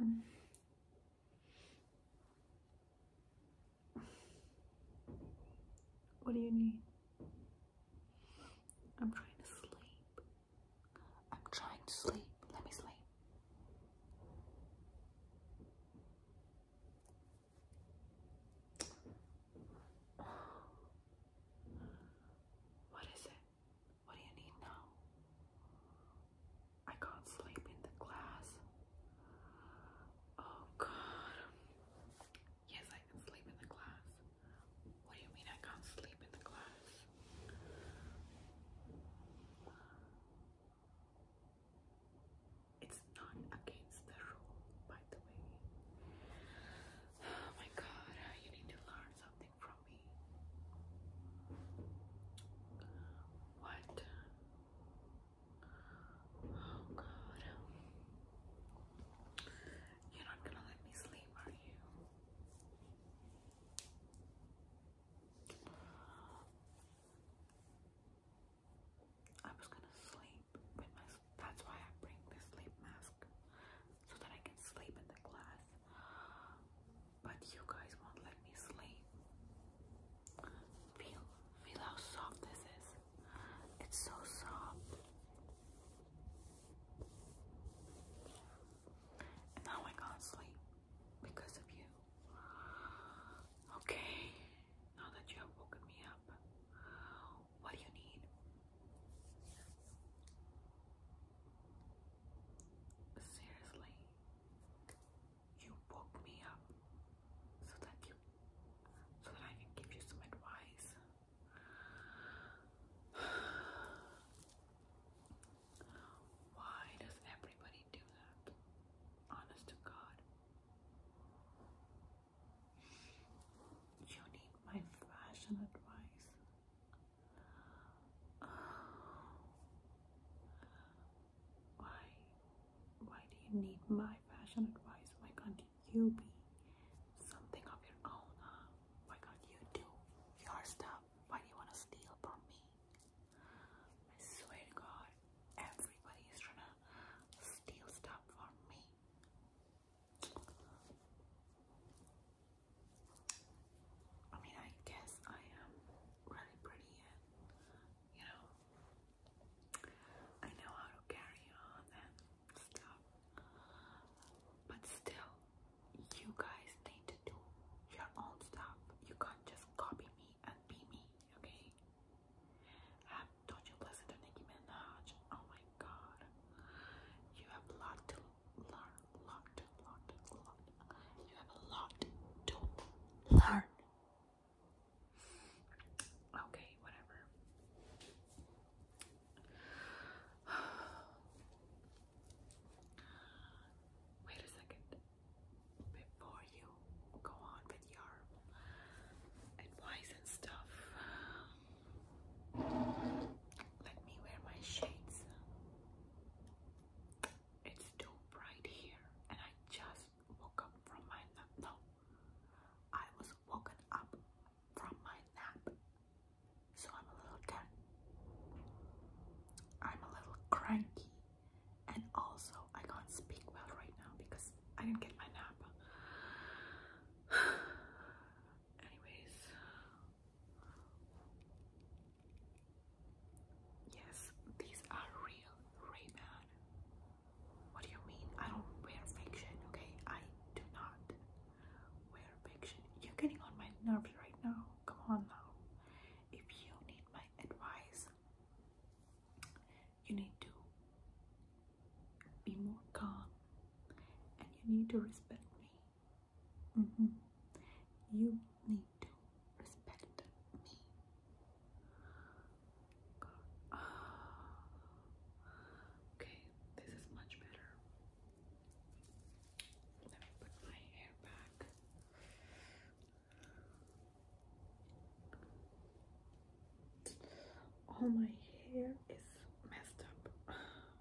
Mm. What do you need? I'm trying to sleep. I'm trying to sleep. Let me sleep. What is it? What do you need now? I can't sleep in the class. Oh god. Yes, I can sleep in the glass. What do you mean I can't sleep in the glass? It's not against the rule, by the way. Oh my god, you need to learn something from me. What? Oh God! You're not gonna let me sleep, are you? I was gonna sleep with my. That's why I bring this sleep mask so that I can sleep in the class. But you guys won't let me sleep. Feel, feel how soft this is. It's so soft. And now I can't sleep because of you. Okay, now that you have woken me up, what do you need? Seriously, you woke me up so that you, so that I can give you some advice. Why does everybody do that? Honest to God. You need my fashion advice. Why? Why do you need my fashion advice? Why can't you be something of your own? Why can't you do your stuff? Why do you want to steal from me? I swear to God, everybody is trying to steal stuff from me. I mean, I guess I am really pretty and, you know, I know how to carry on and stuff. But still, you guys need to do your own stuff. You can't just copy me and be me, okay? don't you listen to Nicki Minaj? Oh my god. You have a lot to learn. Lot, lot, lot. You have a lot to learn. Okay, whatever. Wait a second. Before you go on with your advice and stuff, let me wear my shades. It's too bright here, and I just woke up from my nap. No, I was woken up from my nap, so I'm a little tired. I'm a little cranky, and also I can't speak well right now because I didn't get my nap. Anyways, yes, these are real ray What do you mean? I don't wear fiction, okay? I do not wear fiction. You're getting on my nerves right now. Come on though. If you need my advice, you need to be more calm and you need to respect me mm-hmm. you need to respect me okay this is much better let me put my hair back all my hair is messed up.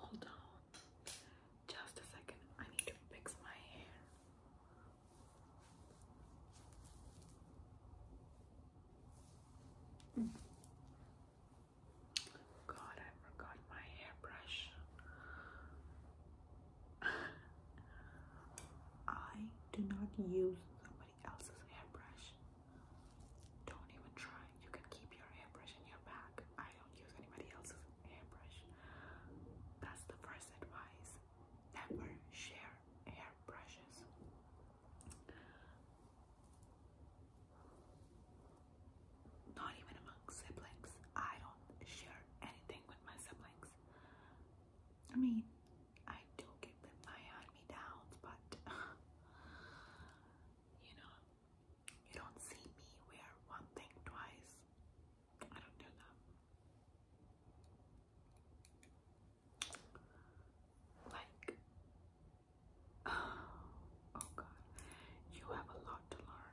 Hold on. Just a second. I need to fix my hair. God, I forgot my hairbrush. I do not use else's hairbrush. Don't even try. You can keep your hairbrush in your bag. I don't use anybody else's hairbrush. That's the first advice. Never share hairbrushes. Not even among siblings. I don't share anything with my siblings. I mean, I do get my hand-me-downs, but you know, you don't see me wear one thing twice. I don't do that. Like, oh god, you have a lot to learn.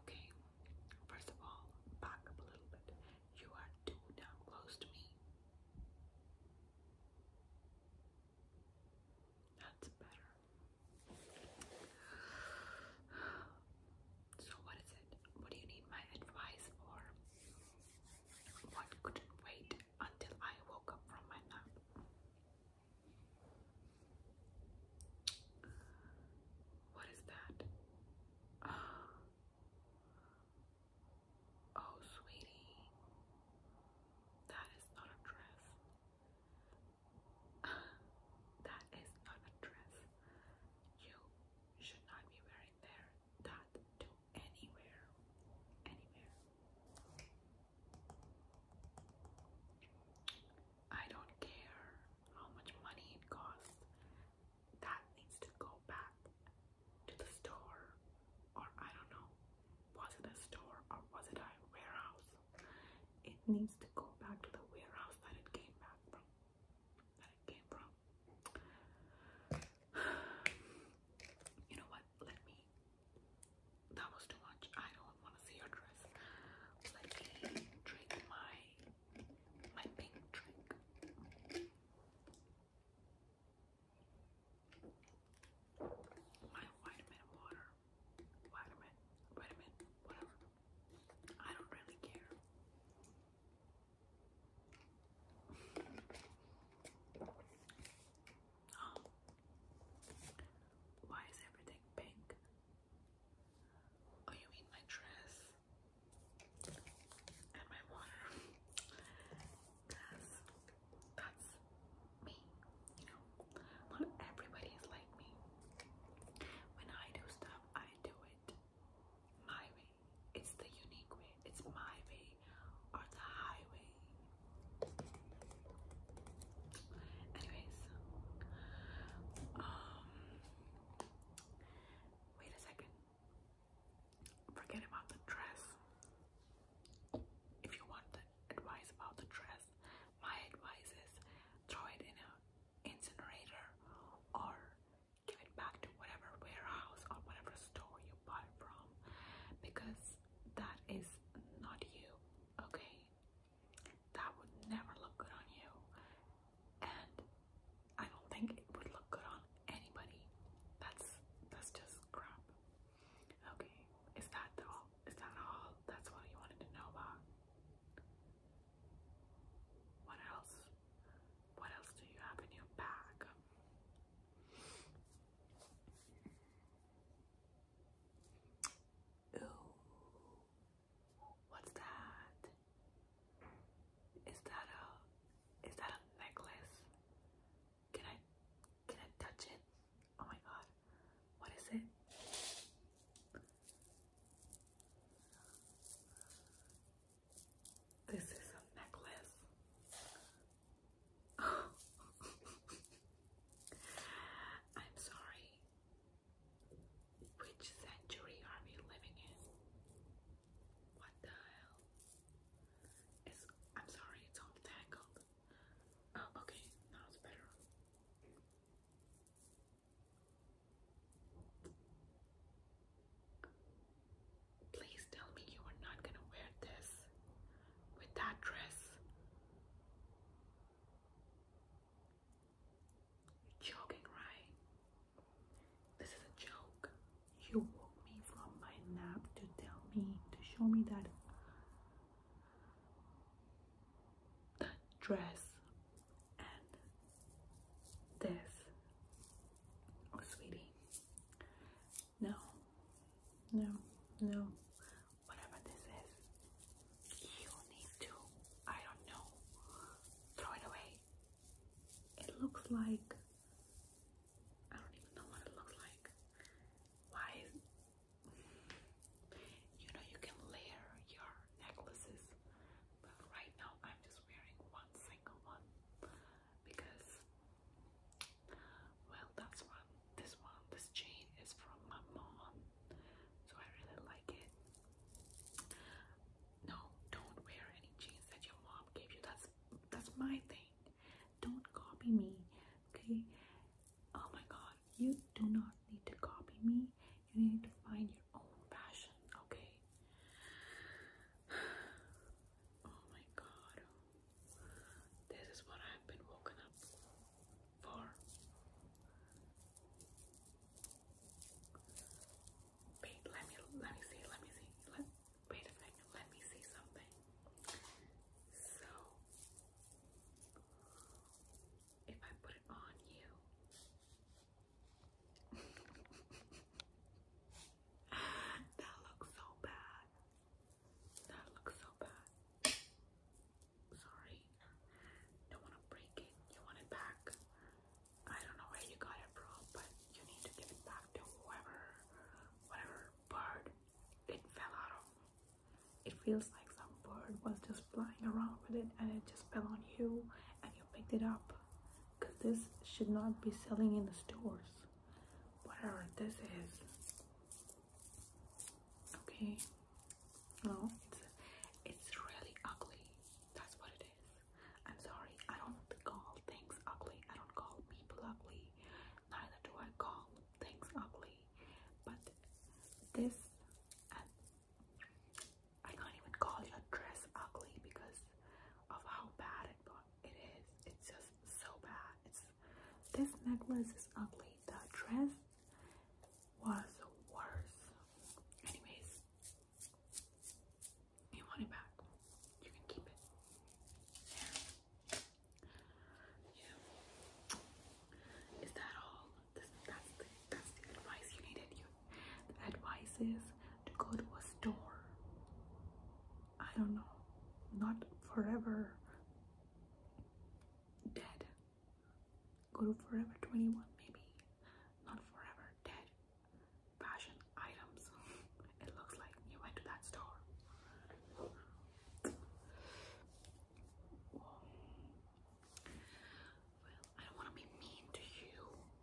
Okay, first of all, back up a little bit. You are too damn close to me. That's better. So, what is it? What do you need my advice for? What couldn't wait until I woke up from my nap? What is that? oh, sweetie, that is not a dress. that is not a dress. You should not be wearing there that to anywhere, anywhere. I don't care how much money it costs. That needs to go back to the store, or I don't know, was it a store or was it a warehouse? It needs to go back to the warehouse that it came back from. That it came from. You know what? let me. That was too much. I don't want to see your dress. Let me drink my my pink drink. My vitamin water. Vitamin, vitamin, whatever. I don't really care. Oh. Why is everything pink? Oh, you mean my dress and my water? Because that's me, you know. Not everybody is like me. When I do stuff, I do it my way. It's the unique way. It's my way or the highway. Anyways, um, wait a second. Forget about the dress. If you want the advice about the dress, my advice is throw it in an incinerator or give it back to whatever warehouse or whatever store you buy from because that is not you, okay? That would never look good on you, and I don't think it would look good on anybody. That's that's just crap. Okay, is that all? Is that all? That's what you wanted to know about. What else? What else do you have in your bag? Ooh, what's that? Is that a is that a necklace? Can I can I touch it? Oh my god. What is it? This is a necklace. I'm sorry. Which century are we living in? What the hell? It's, I'm sorry, it's all tangled. Oh, okay, now it's better. Please tell me you are not gonna wear this with that dress. You're joking, right? This is a joke. You woke me from my nap to tell me, to show me that that dress and this. Oh, sweetie, no, no, no. Whatever this is, you need to, I don't know, throw it away. It looks like, I don't even know what it looks like. Why you know, you can layer your necklaces, but right now I'm just wearing one single one because well, that's one. This one, this chain is from my mom, so I really like it. No, don't wear any jeans that your mom gave you. That's that's my thing. Don't copy me, okay? Oh my God, you do not need to copy me. You need to find your own fashion, okay? Oh my God. This is what I've been woken up for. Wait, let me let me see, let me see. Let wait a minute, let me see something. So if I put it on you that looks so bad. That looks so bad. Sorry. Don't want to break it. You want it back. I don't know where you got it from, but you need to give it back to whoever, whatever bird it fell out of. It feels like some bird was just flying around with it and it just fell on you and you picked it up. Because this should not be selling in the stores. Whatever this is, Okay. No, it's it's really ugly. That's what it is. I'm sorry. I don't call things ugly. I don't call people ugly. Neither do I call things ugly. But this um, I can't even call your dress ugly because of how bad it, it is. It's just so bad. This necklace is ugly. The dress was worse. Anyways, you want it back. You can keep it. that all? that's, the, advice you needed. the advice is to go to a store. I don't know not forever dead. Go to forever 21, maybe. Not forever dead. Fashion items. it looks like you went to that store. Well, I don't want to be mean to you.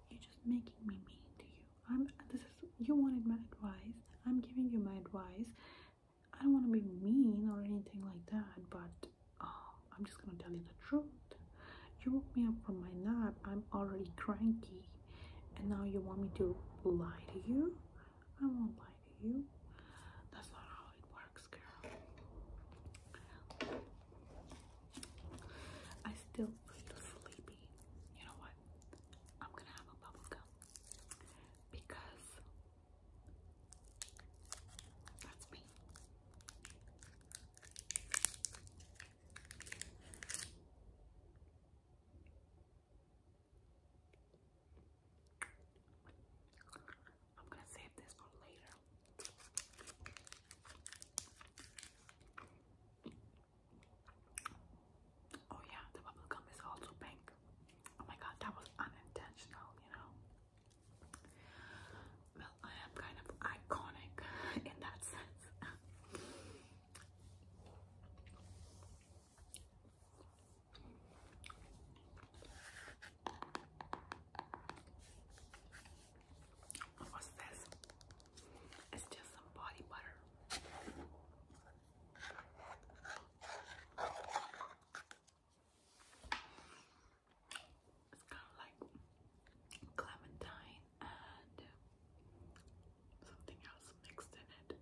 You're just making me mean to you. I'm. This is you wanted my advice i'm giving you my advice i don't want to be mean or anything like that but um, i'm just gonna tell you the truth you woke me up from my nap i'm already cranky and now you want me to lie to you i won't lie to you that's not how it works girl i still feel sleepy you know what i'm gonna have a bubble gum because that's me. I'm going to save this for later. Oh yeah, the bubble gum is also pink. Oh my god, that was unintentional, you know. Well, I am kind of iconic in that sense. What's this? It's just some body butter. It's kind of like clementine and something else mixed in it.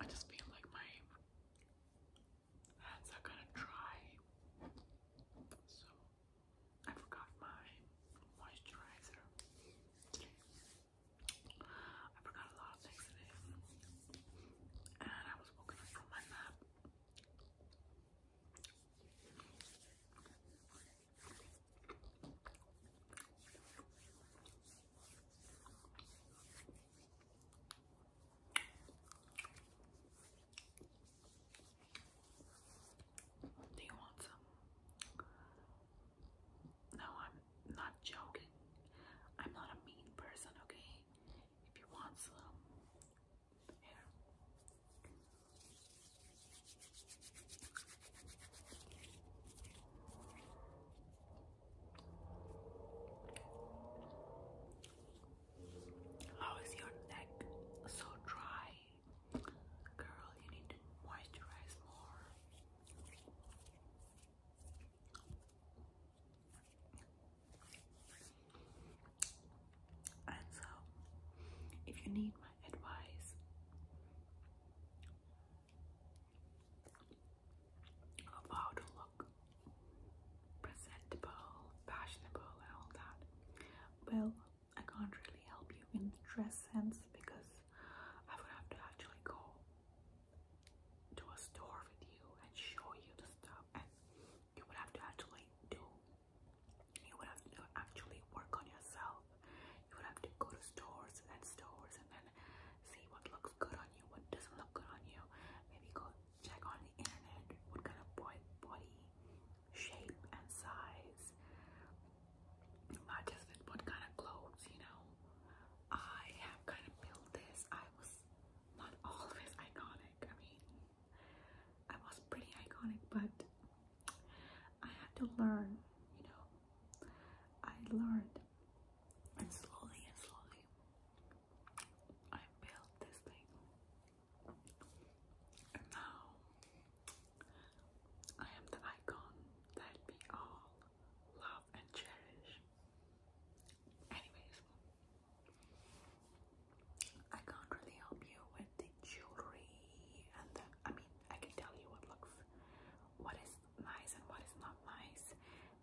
I just feel like my hands are kind of dry, so I forgot my moisturizer I forgot a lot of things today. And I was woken up from my nap. Do you want some? No, I'm not joking. I'm not a mean person, okay? If you want some, here. How is your neck so dry? Girl, you need moisturize more. And so, if you need my advice, about to look presentable, fashionable, and all that, well, I can't really help you in the dress sense because I would have to actually go to a store with you and show you the stuff and you would have to actually do you would have to actually work on yourself you would have to go to stores and stores and then see what looks good on you what doesn't look good on you maybe go check on the internet what kind of boy body shape and size, not just what kind of clothes, you know. I have kind of built this. I was not always iconic. I mean, I was pretty iconic, but I had to learn, you know. I learned, and slowly and slowly, I built this thing. And now I am the icon that we all love and cherish. Anyways, I can't really help you with the jewelry and the I mean I can tell you what looks what is nice and what is not nice.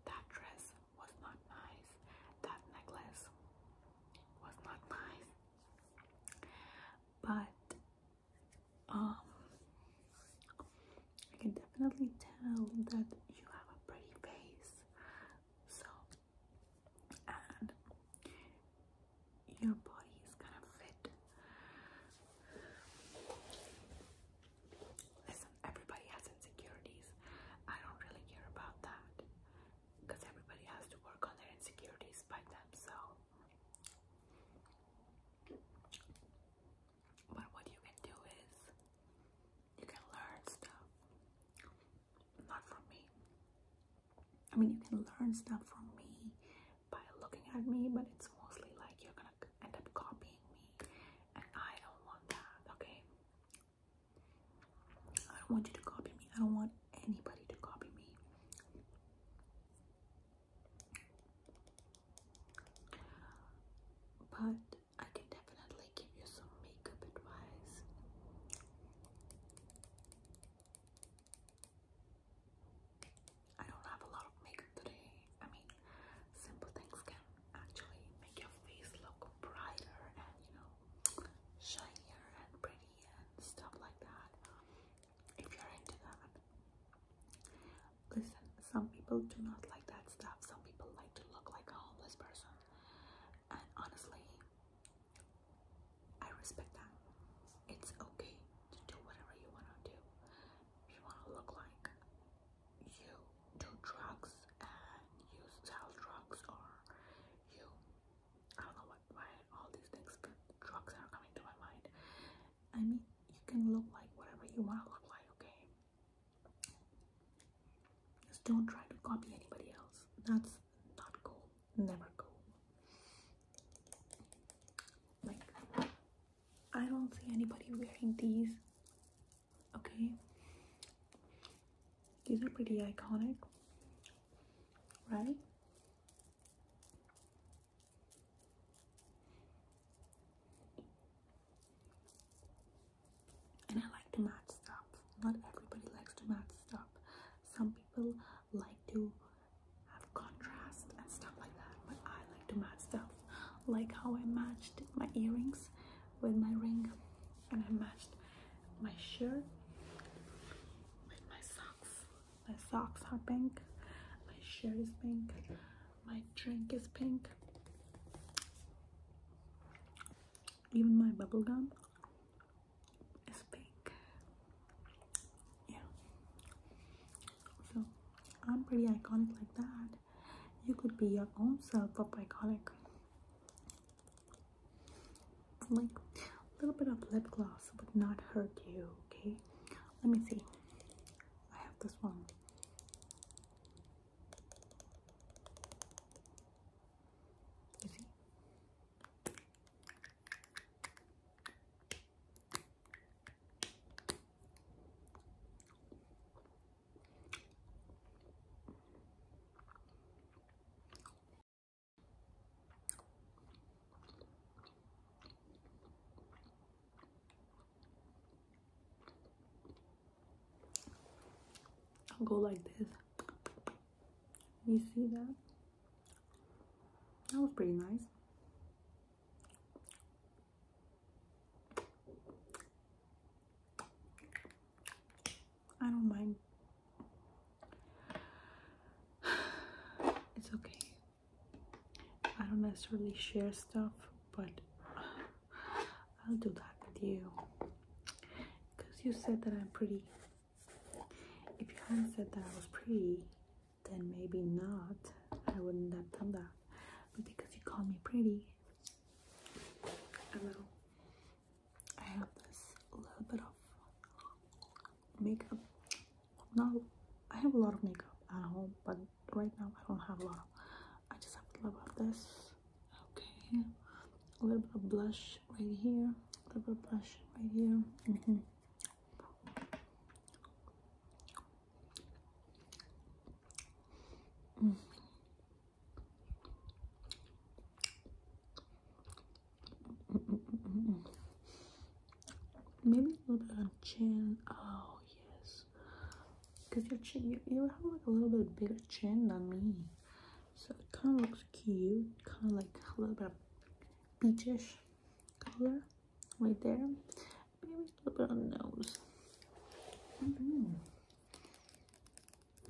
That dress was not nice. That necklace was not nice. But um, I can definitely tell that you have a pretty face. So, and your body is kind of fit. Listen, everybody has insecurities. I don't really care about that because everybody has to work on their insecurities by themselves. But what you can do is you can learn stuff. Not from me. I mean, you can learn stuff from me by looking at me, but it's mostly like you're gonna end up copying me, and I don't want that, okay? I don't want you to copy me. I don't want anybody to copy me. But I can definitely give you some makeup advice. I don't have a lot of makeup today. I mean, simple things can actually make your face look brighter and you know, shinier and pretty and stuff like that if you're into that. Listen, some people do not like that stuff. Some people like to look like a homeless person. And honestly, I respect that. It's okay to do whatever you want to do. If you want to look like you do drugs and use sell drugs or you I don't know what, why all these things, drugs are coming to my mind. I mean, you can look like whatever you want to look like, okay? Just don't try to copy anybody else. That's not cool. Never cool. Like, I don't see anybody wearing these, okay? These are pretty iconic, right? And I like the matte stuff. Not everybody likes the match stuff. Some people like to have contrast and stuff like that, but I like to match stuff. Like how I matched my earrings with my ring, and I matched my shirt with my socks. My socks are pink. My shirt is pink. My drink is pink. Even my bubble gum is pink. Yeah. So I'm pretty iconic like that. You could be your own self of iconic like a little bit of lip gloss would not hurt you okay let me see i have this one you see I'll go like this. You see that? That was pretty nice. I don't mind It's okay. I don't necessarily share stuff, but I'll do that with you. Because you said that I'm pretty. If you hadn't said that I was pretty, then maybe not. I wouldn't have done that. But because you called me pretty, I have this little bit of makeup not i have a lot of makeup at home but right now i don't have a lot i just have a little of this okay a little bit of blush right here a little bit of blush right here mm-hmm. mm. Maybe a little bit on chin. Oh yes, because your chin, you, you have like a little bit bigger chin than me, so it kind of looks cute. Kind of like a little bit of peachish color right there. Maybe a little bit on the nose. Mm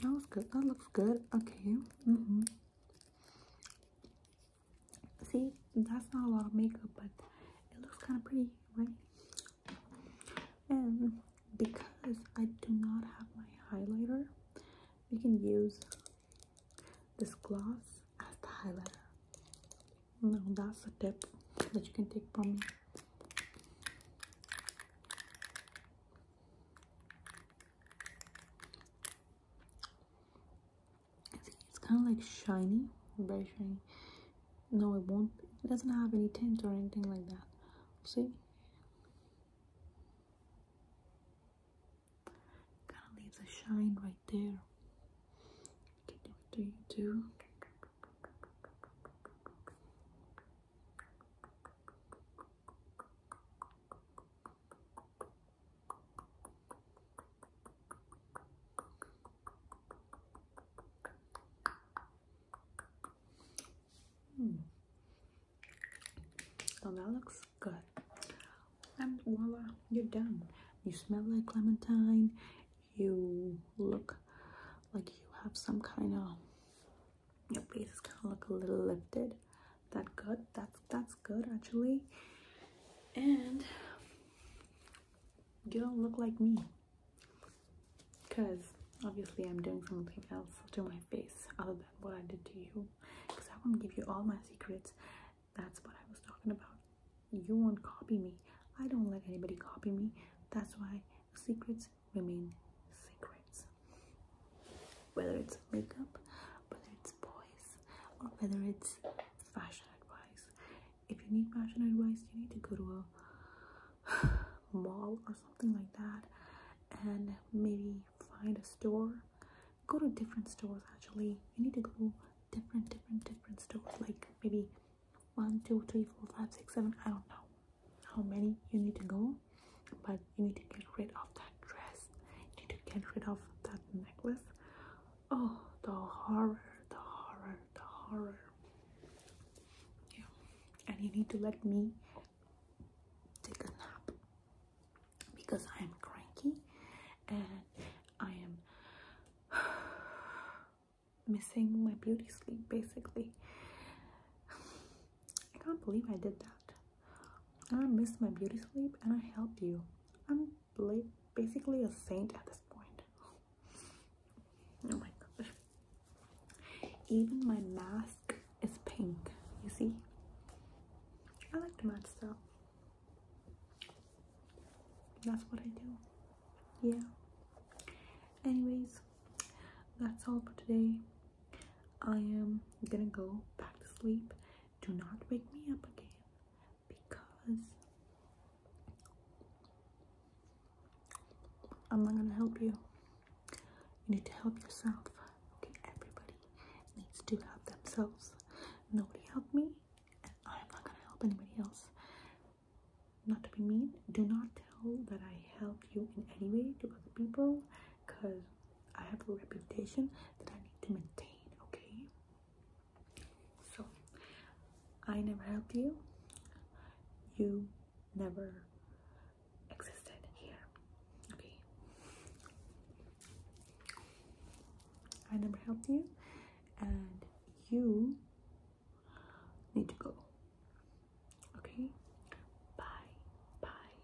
That good. That looks good. Okay. Mm hmm See, that's not a lot of makeup, but it looks kind of pretty, right? And because I do not have my highlighter, we can use this gloss as the highlighter. Now that's a tip that you can take from me it's kind of like shiny, very shiny. No, it won't. It doesn't have any tint or anything like that. See? Kind of leaves a shine right there. do you do? So hmm. oh, that looks good. And voila, you're done. You smell like clementine. You look like you have some kind of. Your face is kind of look a little lifted that good that's that's good actually and you don't look like me because obviously i'm doing something else to my face other than what i did to you because i won't give you all my secrets that's what i was talking about you won't copy me i don't let anybody copy me that's why secrets remain secrets whether it's makeup, whether it's boys, or whether it's fashion advice. If you need fashion advice, you need to go to a mall or something like that and maybe find a store. Go to different stores actually. You need to go different, different, different stores like maybe one, two, three, four, five, six, seven. I don't know how many you need to go but you need to get rid of that dress you need to get rid of that necklace oh the horror the horror the horror yeah and you need to let me take a nap because i am cranky and i am missing my beauty sleep basically I can't believe I did that. I missed my beauty sleep and I helped you. I'm basically a saint at this point. Oh my gosh. Even my mask is pink, you see? I like to match stuff. That's what I do. Yeah. Anyways, that's all for today. I am gonna go back to sleep. Do not wake me up again because I'm not gonna help you. You need to help yourself. Okay, everybody needs to help themselves. Nobody helped me, and I'm not gonna help anybody else. Not to be mean, do not tell that I helped you in any way to other people because I have a reputation that I need to maintain, okay? So, I never helped you. You never existed here, okay? I never helped you, and you need to go, okay? Bye, bye,